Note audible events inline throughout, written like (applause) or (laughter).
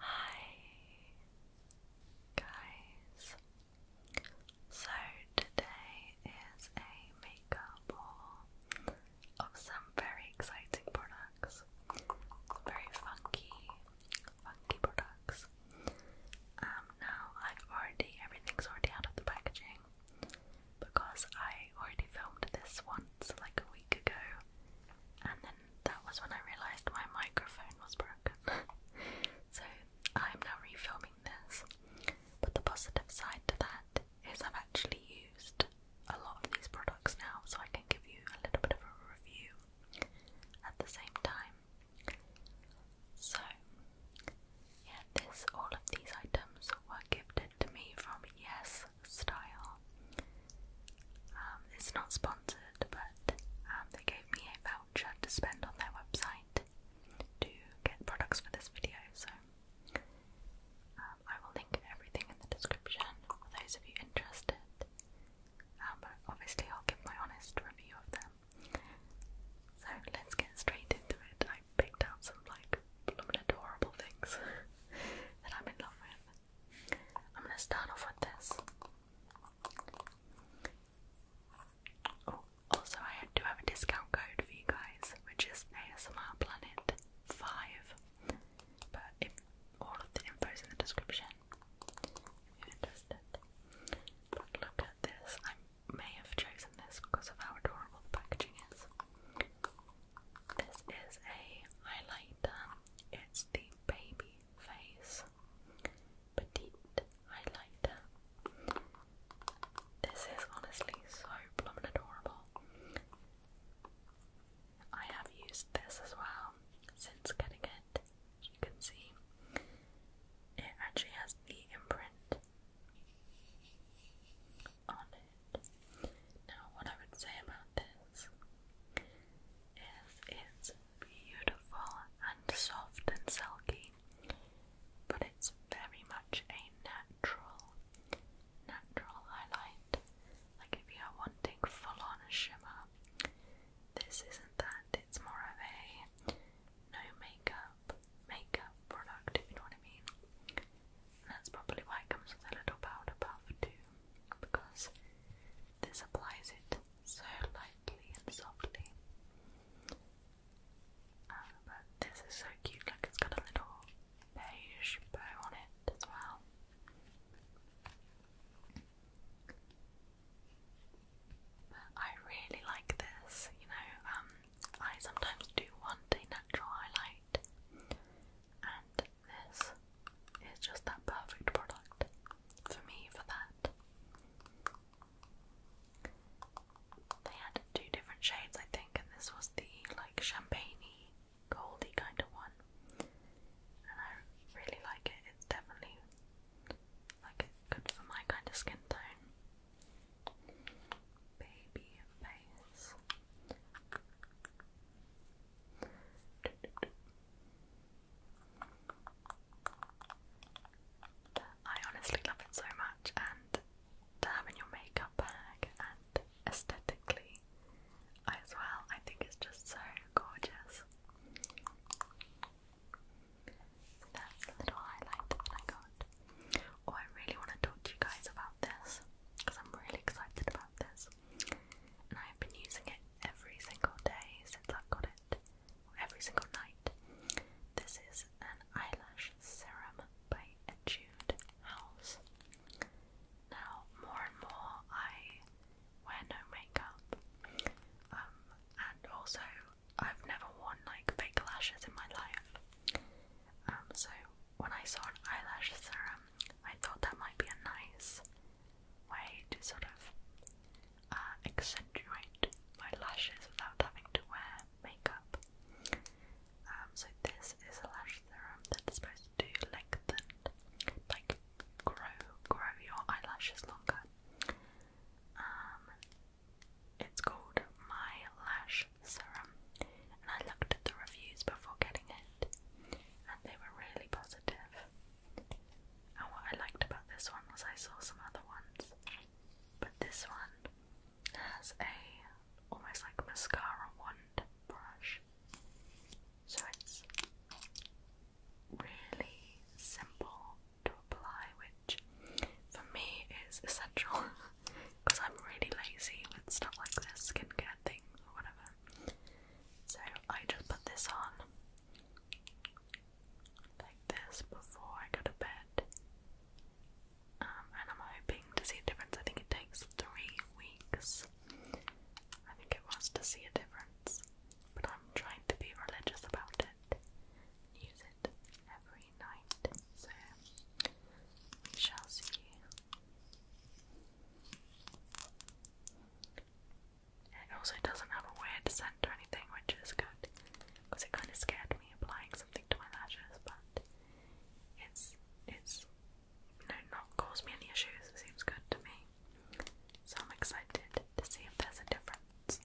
Hi guys. So today is a makeup haul of some very exciting products. Very funky, funky products. Um now I've already everything's already out of the packaging because I already filmed this once like a week ago and then that was when I realised my microphone was broken. (laughs) so I'm now refilming this. But the positive side to that is I've actually used a lot of these products now, so I can give you a little bit of a review at the same time. So, yeah, this all of these items were gifted to me from Yes Style. Um, it's not sponsored, but um, they gave me a voucher to spend on their website to get products for this video, so um, I will link everything in the description for those of you interested. but obviously, I'll give my honest review of them. So let's get straight into it. I picked out some like blooming adorable things (laughs) that I'm in love with. I'm gonna start off with this. Oh, also I do have a discount code for you guys, which is ASMR Planet 5. But all of the info in the description, if you're interested. look at this. I may have chosen this because of how adorable the packaging is. This is a highlighter. It's the baby face petite highlighter. This is honestly so plumb adorable. I have used this as well since getting it. you can see, it actually has the imprint on it. Now, what I would say about this is it's beautiful and soft and silky, but it's very much a natural, natural highlight. Like if you are wanting full on shimmer, this isn't that, it's more of a no makeup, makeup product, if you know what I mean. that's probably why it comes with a little powder puff too, because this applies it so lightly and softly. Um, but this is so cute, like it's got a little beige bow on it as well. But I really like this, you know, um, I sometimes do want a natural highlight and this it's just that perfect product for me for that. They had two different shades, I think, and this was the like champagne goldy kind of one. And I really like it. It's definitely like good for my kind of skin tone. Baby face. I honestly love it so much, and to have in your makeup bag and aesthetically as well, I think it's just so gorgeous. So that's the little highlight that I got. Oh, I really want to talk to you guys about this because I'm really excited about this, and I've been using it every single day since i got it every single night. This is an eyelash serum by Etude House. Now, more and more, I wear no makeup, um, and also I've never worn like fake lashes in my life. Um, so when I saw an eyelash serum, I thought that might be a nice way to sort of uh, accentuate my lashes without having to wear makeup. Um, so this is a lash serum that's supposed to lengthen, like grow, grow your eyelashes longer. Um, it's called My Lash Serum, and I looked at the reviews before getting it, and they were really positive. And what I liked about this one was I saw some other ones, but this one has a almost like mascara wand brush. So it's really simple to apply, which for me is essential because (laughs) I'm really lazy with stuff like this, skincare things or whatever. So I just put this on like this before I go to bed. Um, and I'm hoping to see a difference. I think it takes three weeks. I think it was to see a difference. But I'm trying to be religious about it. Use it every night. So we shall see. It also doesn't have a weird scent or anything, which is good because it kind of scared me applying something to my lashes, but it's it's you not caused me any issues. It seems good to me, so I'm excited to see if there's a difference.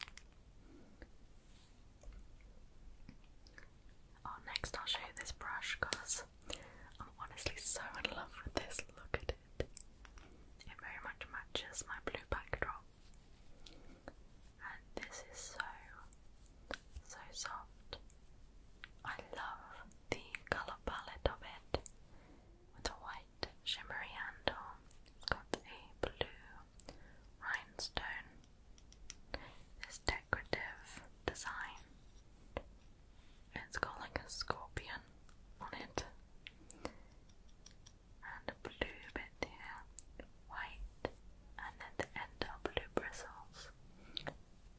Oh, next I'll show you this brush because I'm honestly so in love with this. Look at it. It very much matches my blue backdrop and this is so so soft. I love the color palette of it with a white shimmery handle. It's got a blue rhinestone. This decorative design. It's got like a scorpion on it and a blue bit here, white, and at the end are blue bristles.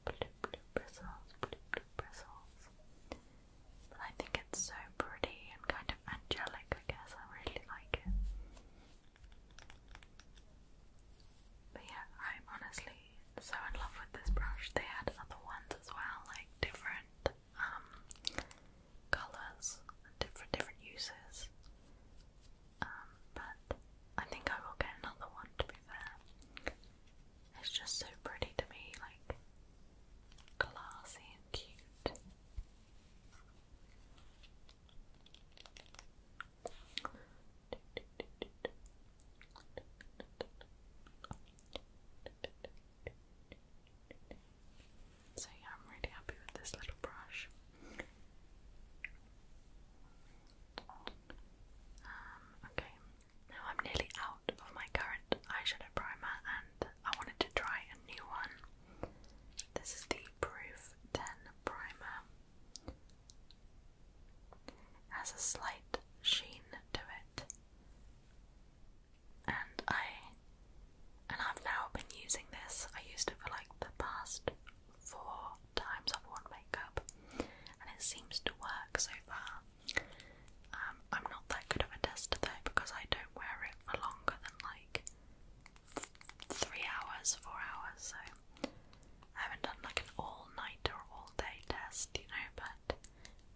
Blue, blue bristles, blue, blue bristles. But I think it's so pretty and kind of angelic, I guess. I really like it. But yeah, I'm honestly so in love with this brush. They had other ones as well, like different um, colours and different different uses. Um, but I think I will get another one to be fair. It's just so pretty to me, like glassy and cute. So yeah, I'm really happy with this little brush. Um, okay, now I'm nearly out of my current eyeshadow primer and I wanted to try a new one. This is the Proof 10 Primer. It has a slight sheen to it and I and I've now been using this. I used it for like the past four times I've worn makeup, and it seems to work so far. Um, I'm not that good of a tester though because I don't wear it for longer than like three hours, four hours. So I haven't done like an all-night or all-day test, you know. But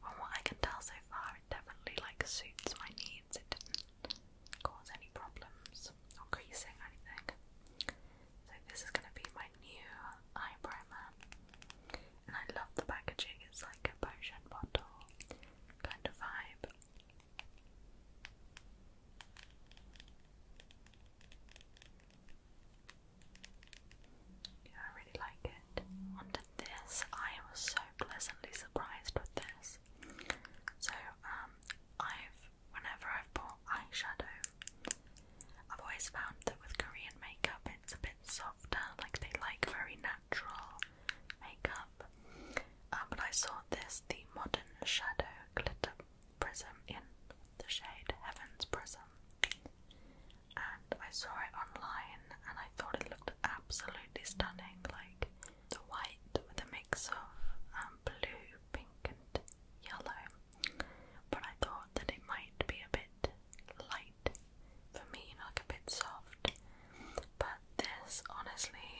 from what I can tell so far, it definitely like suits my needs. It didn't cause any problems or creasing anything. So this is going to be my new eye primer. And I love the packaging, it's like a potion bottle kind of vibe. Yeah, I really like it. And this, I was so pleasantly surprised with this. So, um, I've whenever I've bought eyeshadow, I've always found that with Korean makeup it's a bit softer, like they like very natural makeup. Um, but I saw this, the Modern Shadow Glitter Prism in the shade Heaven's Prism, and I saw it online and I thought it looked absolutely stunning. Like the white with a mix of um, blue, pink, and yellow. But I thought that it might be a bit light for me, like a bit soft. But this honestly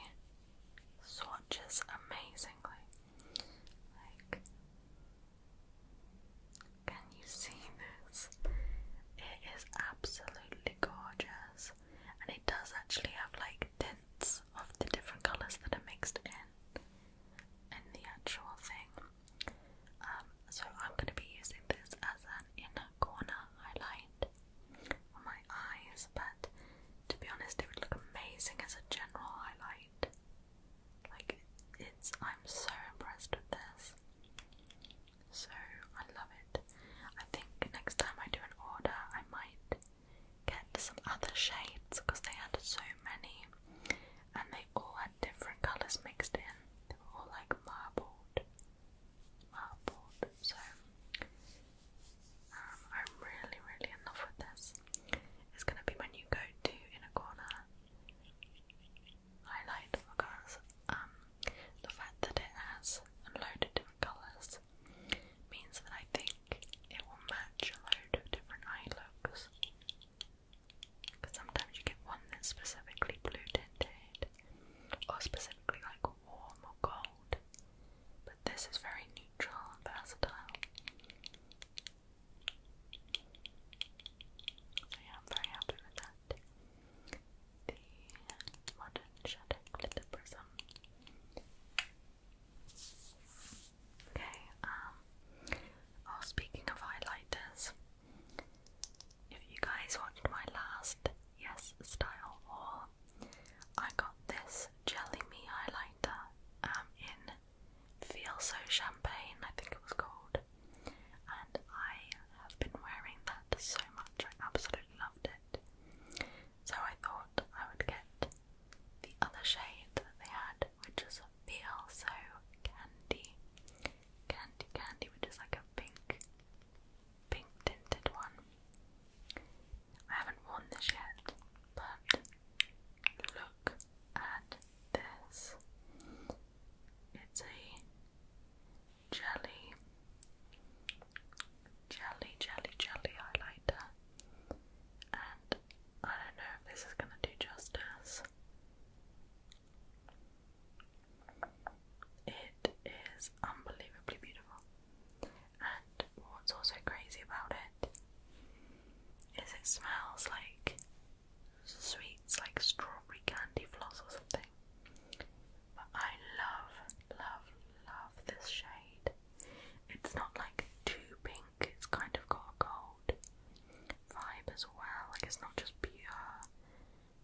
swatches amazingly. Like, can you see this? It is absolutely gorgeous and it does actually have like tints of the different colours that are mixed in in the actual thing. Um, so I'm going to be using this as an inner corner highlight on my eyes, but to be honest, it would look amazing as a general highlight. Like it's, I'm so impressed with this. So I love it. I think next time I do an order, I might get some other shades because they had so many and they all had different colours mixed in. They were all like marbled. Marbled. So um, I'm really, really in love with this. It's gonna be my new go-to in corner highlight because um, the fact that it has a load of different colours means that I think it will match a load of different eye looks. Because sometimes you get one that's specifically blue tinted or specifically like warm or cold, but this is very neutral versatile. So yeah, am very happy with that. The Modern Shadow Glitter Prism Okay, um, oh, speaking of highlighters, if you guys watched my last Yes Style haul, I got this Jelly Me highlighter um, in Feel So Champagne, I think it was called, and I have been wearing that so much, I absolutely loved it so I thought I would get the other shade that they had, which is Feel So Candy. Candy Candy, which is like a pink, pink tinted one. I haven't worn this yet, but look at this. It's a jelly jelly, jelly, jelly highlighter, and I don't know if this is going to do justice. It is unbelievably beautiful, and what's also crazy about it is it smells like sweets, like strawberry candy floss or something. But I love love, love this shade. It's not like too pink, it's kind of got a gold vibe as well. Like it's not just pure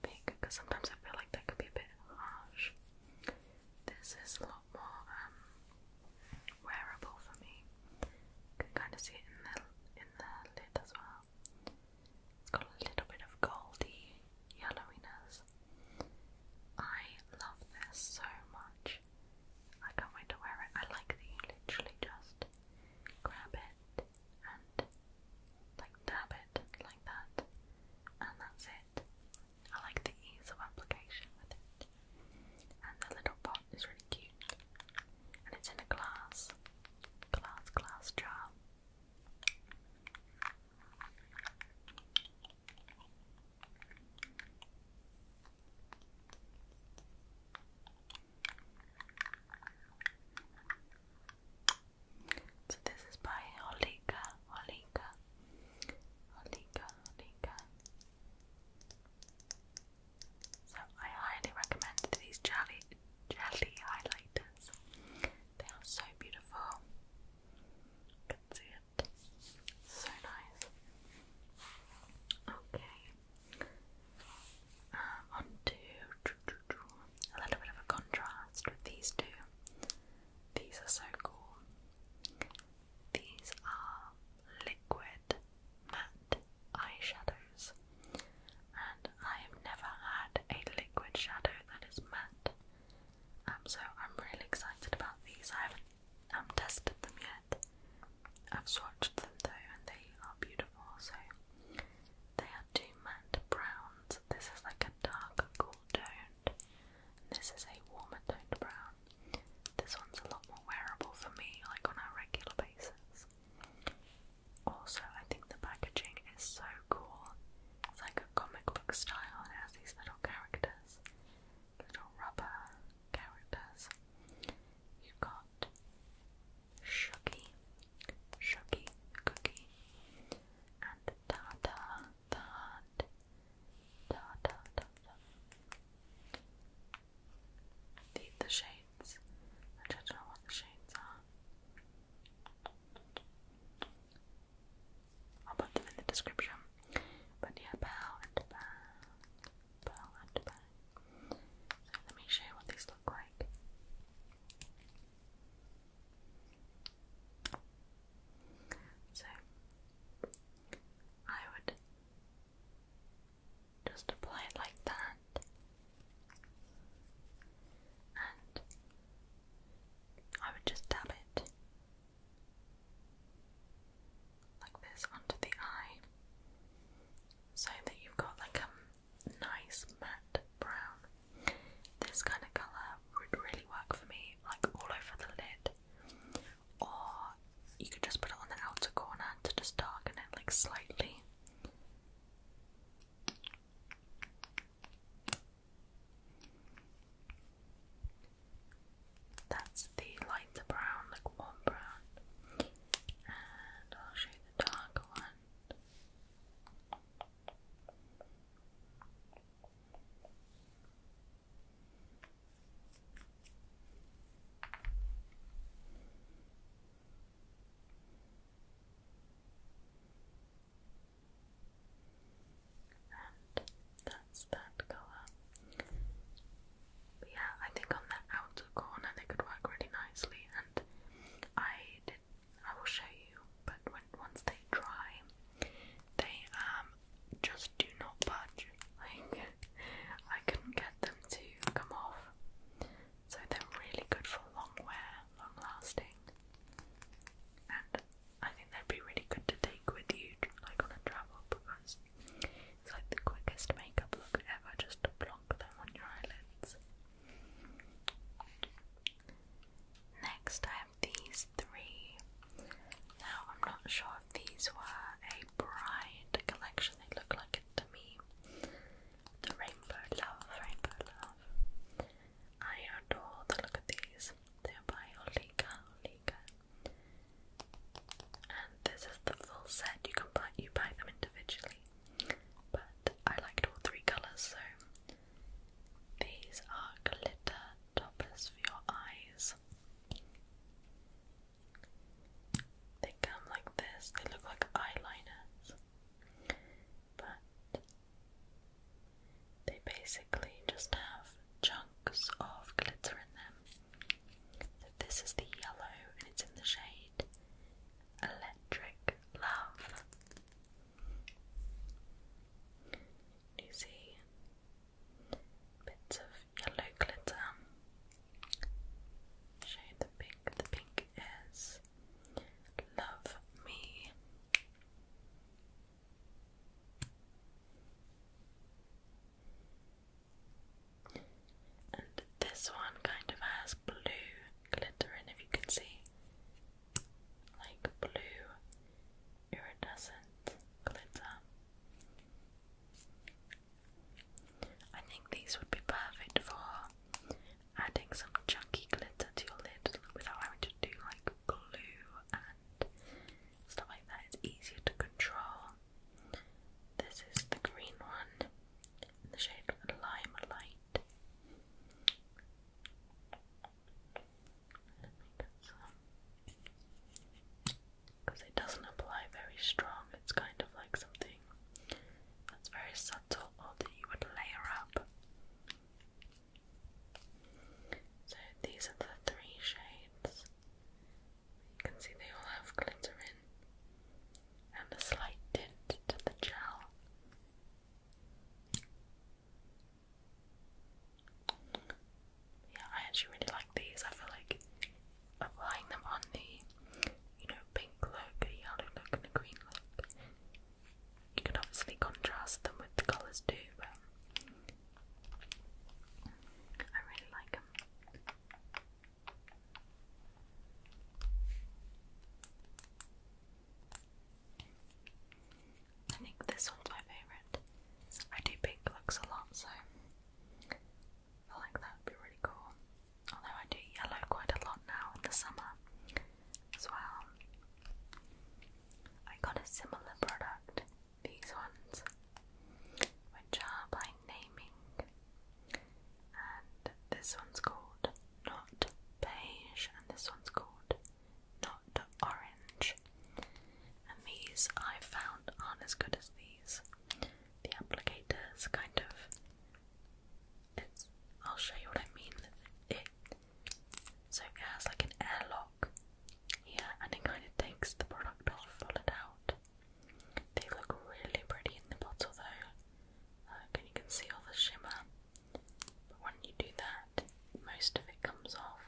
pink because sometimes I feel like that could be a bit harsh. This is a lot more um, wearable for me. can kind of see it in the in the lid as well. It's got a little bit of goldy yellowiness. I love this so much. I can't wait to wear it. I like that you literally just grab it and like dab it like that, and that's it. I like the ease of application with it, and the little pot is really cute, and it's in a glass, glass, glass jar. So this is by Holika, Holika, Holika, Holika. So I highly recommend these jelly jelly highlighters. They are so beautiful. You can see it so nice. Okay. Um, on a little bit of a contrast with these two. These are so cool. These are liquid matte eyeshadows, and I have never had a liquid shadow that is matte. Um, so I'm really excited about these. I have haven't tested them yet. I've swatched them though, and they are beautiful. So they are two matte browns. This is like a dark, cool toned, this is a warmer toned brown. This one's a lot more wearable for me, like on a regular basis. Also, I think the packaging is so cool. It's like a comic book style. It has these little characters, little rubber characters. you got Shuggy, Shuggy Cookie, and Tata the Tata Tata. These the shades. I don't know what the shades are. I'll put them in the description. But yeah, bow and bow, bow and bow. So let me show you what these look like. So I would just apply it like that, and I would just dab it like this onto the eye so that you've got like a nice matte brown. This kind of colour would really work for me, like all over the lid, or you could just put it on the outer corner to just darken it like slightly. That's the lighter brown, like warm brown. And I'll show you the darker one and that's that colour. But yeah, I think on the outer corner they could work really nicely, and I did. I will show you, but once they dry, they um just do not budge. Like I couldn't get them to come off, so they're really good for long wear, long lasting, and I think that'd be really good to take with you, like on a travel, because it's like the quickest makeup look ever, just to block them on your eyelids. Next, I have these three. Now, I'm not sure if these were a bride collection, they look like it to me. The Rainbow Love, Rainbow Love. I adore the look of these. They're by Olika, Olika, and this is the full set. You can buy you buy them individually, but I liked all three colours, so these are glitter toppers for your eyes. They come like this. They look like eyeliners, but they basically just have chunks of glitter in them. So this is the yellow and it's in the shade Electric Love. You see bits of yellow glitter. Shade the pink. The pink is Love Me. And this one kind of has blue glitter in, if you can see. Like blue iridescent glitter. I think these would be perfect for adding some chunky glitter to your lid without having to do like glue and stuff like that. It's easier to control. This is the green one the shade Lime Because it doesn't apply very strong, it's kind of like something that's very subtle or that you would layer up. So these are the three shades. You can see they all have glitter in, and a slight tint to the gel. Yeah, I actually really like these. I feel like applying them on the, you know, pink look, the yellow look, and the green look. You can obviously contrast them with the colours too, but I really like them. I think this one's my favourite. I do pink looks a lot, so I like that would be really cool. Although I do yellow quite a lot now in the summer as well. I got a similar product these ones, which are by naming. And this one's called Not Beige, and this one's called Not Orange. And these I found aren't as good as these. The applicators kind of. It's, I'll show you what I mean. It so it has like an airlock here, and it kind of takes the product off, pull it out, they look really pretty in the bottle though. Can you can see all the shimmer. But when you do that, most of it comes off.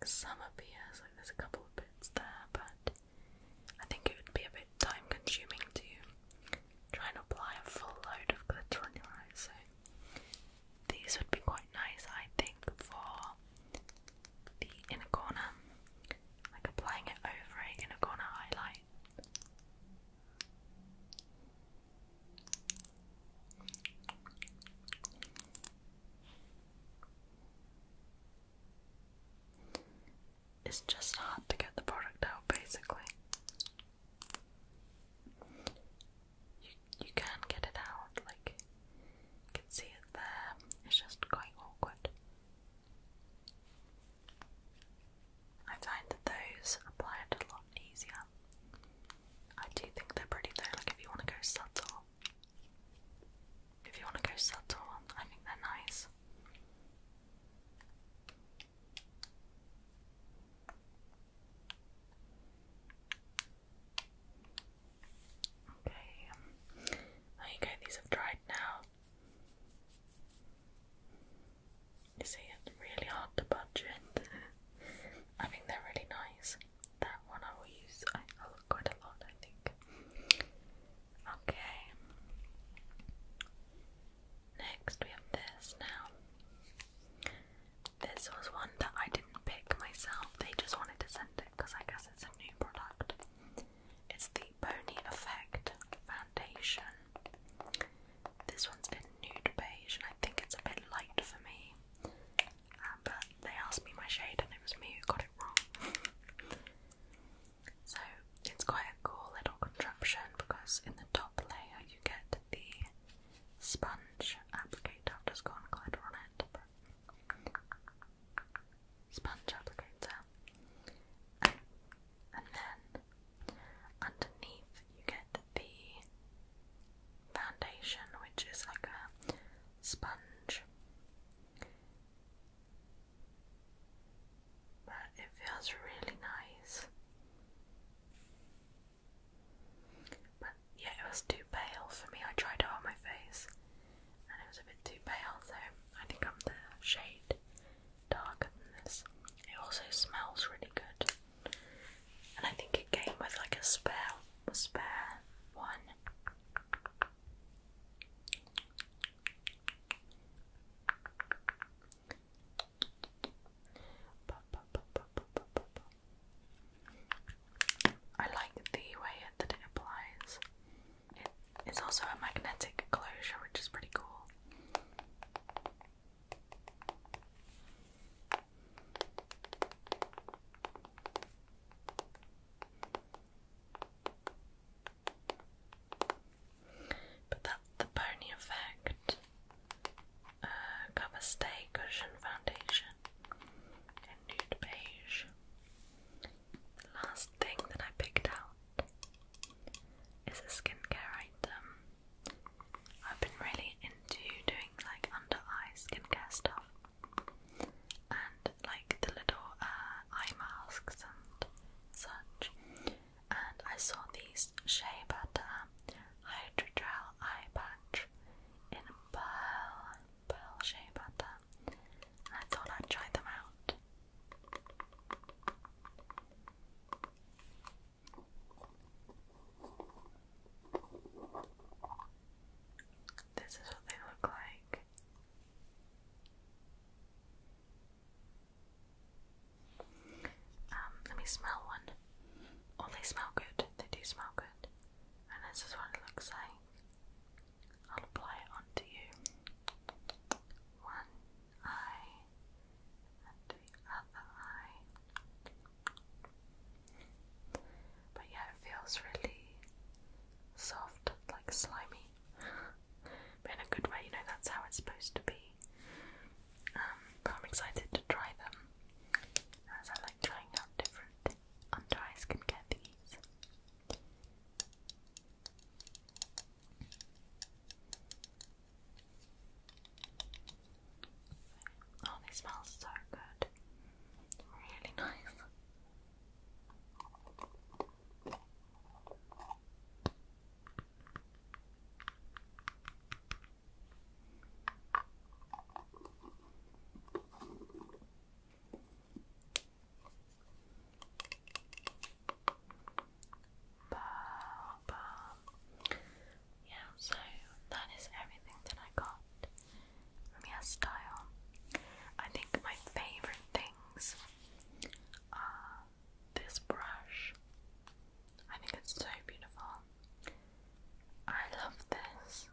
Like some appears, like there's a couple of bits there, but I think it would be a bit time consuming to try and apply a full load of glitter on your eyes. So these would be quite nice, I think, for the inner corner, like applying it over a inner corner highlight. It's just hard to get the product out basically you can get it out, like you can see it there. It's just quite awkward. I find that those apply it a lot easier. I do think they're pretty though, like if you want to go subtle. If you want to go subtle, I think they're nice. Okay, there oh, you go, these have dried now. You see, it's really hard to budget. I think they're really nice. That one I will use I, quite a lot, I think. Okay. Next, we have this now. This was one that I didn't pick myself, they just wanted to send it because I guess it's a new product. It's the Pony Effect Foundation. This one's in nude beige, and I think it's a bit light for me. Um, but they asked me my shade, and it was me who got it wrong. (laughs) so it's quite a cool little contraption because in the top layer you get the sponge applicator. I've just got on it, sponge applicator, and then underneath you get the foundation, which is like a sponge, but it feels really nice. But yeah, it was too pale for me. I tried it on my face and it was a bit too pale, so I think I'm the shade darker than this. It also smells really good, and I think it came with like a spare, spare one. I like the way that it applies. It is also a magnetic closure, which is pretty cool. But that's the Pony Effect uh, Cushion Foundation nude beige. The last thing that I picked out is a skincare item. I've been really into doing like under eye skincare stuff and like the little uh, eye masks and such. And I saw these Shea Butter Hydrogel Eye Patch in Pearl pearl shea butter. And I thought I'd try them out. This is what they look like. Um, let me smell one. Oh, they smell good. They do smell good. And this is what it looks like. I'll apply it onto you. One eye and the other eye. But yeah, it feels really soft, like slimy. (laughs) but in a good way, you know, that's how it's supposed to be. Um, but I'm excited to try them as I like trying out different under eye skincare things. Oh, they smell so good. Really nice. Ba, Yeah, so that is everything that I got from YesStyle. I think my favorite things are this brush. I think it's so beautiful. I love this.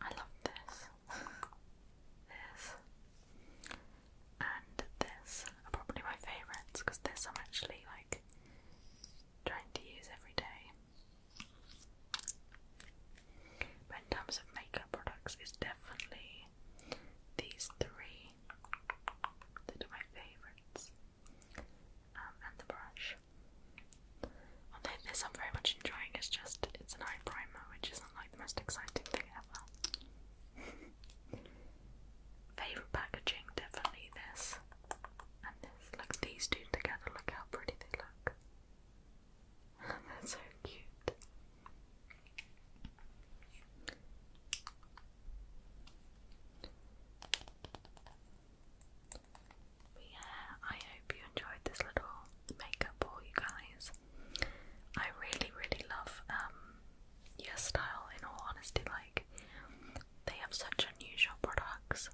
I love this this, and this are probably my favourites because this I'm actually like trying to use every day. But in terms of makeup products, it's definitely these three that are my favourites, um, and the brush. Although this I'm very much enjoying, it's just it's an eye primer, which isn't like the most exciting thing ever. (laughs) Favorite packaging, definitely this and this. Look, these two together. Look how pretty they look. (laughs) they so cute yeah, I hope you enjoyed this little makeup haul, you guys. I really, really love um, your style, in all honesty. Like, they have such unusual products.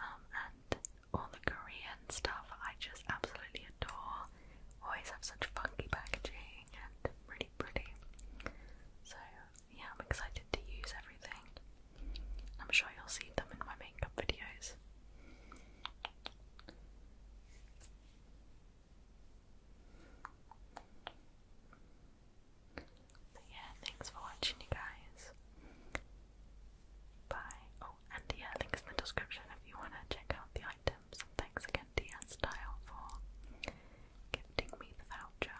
Um, and all the Korean stuff I just absolutely adore. Always have such funky packaging and really pretty. So, yeah, I'm excited to use everything. I'm sure you'll see them in my makeup videos. But yeah, thanks for watching, you guys. Bye. Oh, and yeah, links in the description if you want to check out the items. thanks again, DS Style, for gifting me the voucher.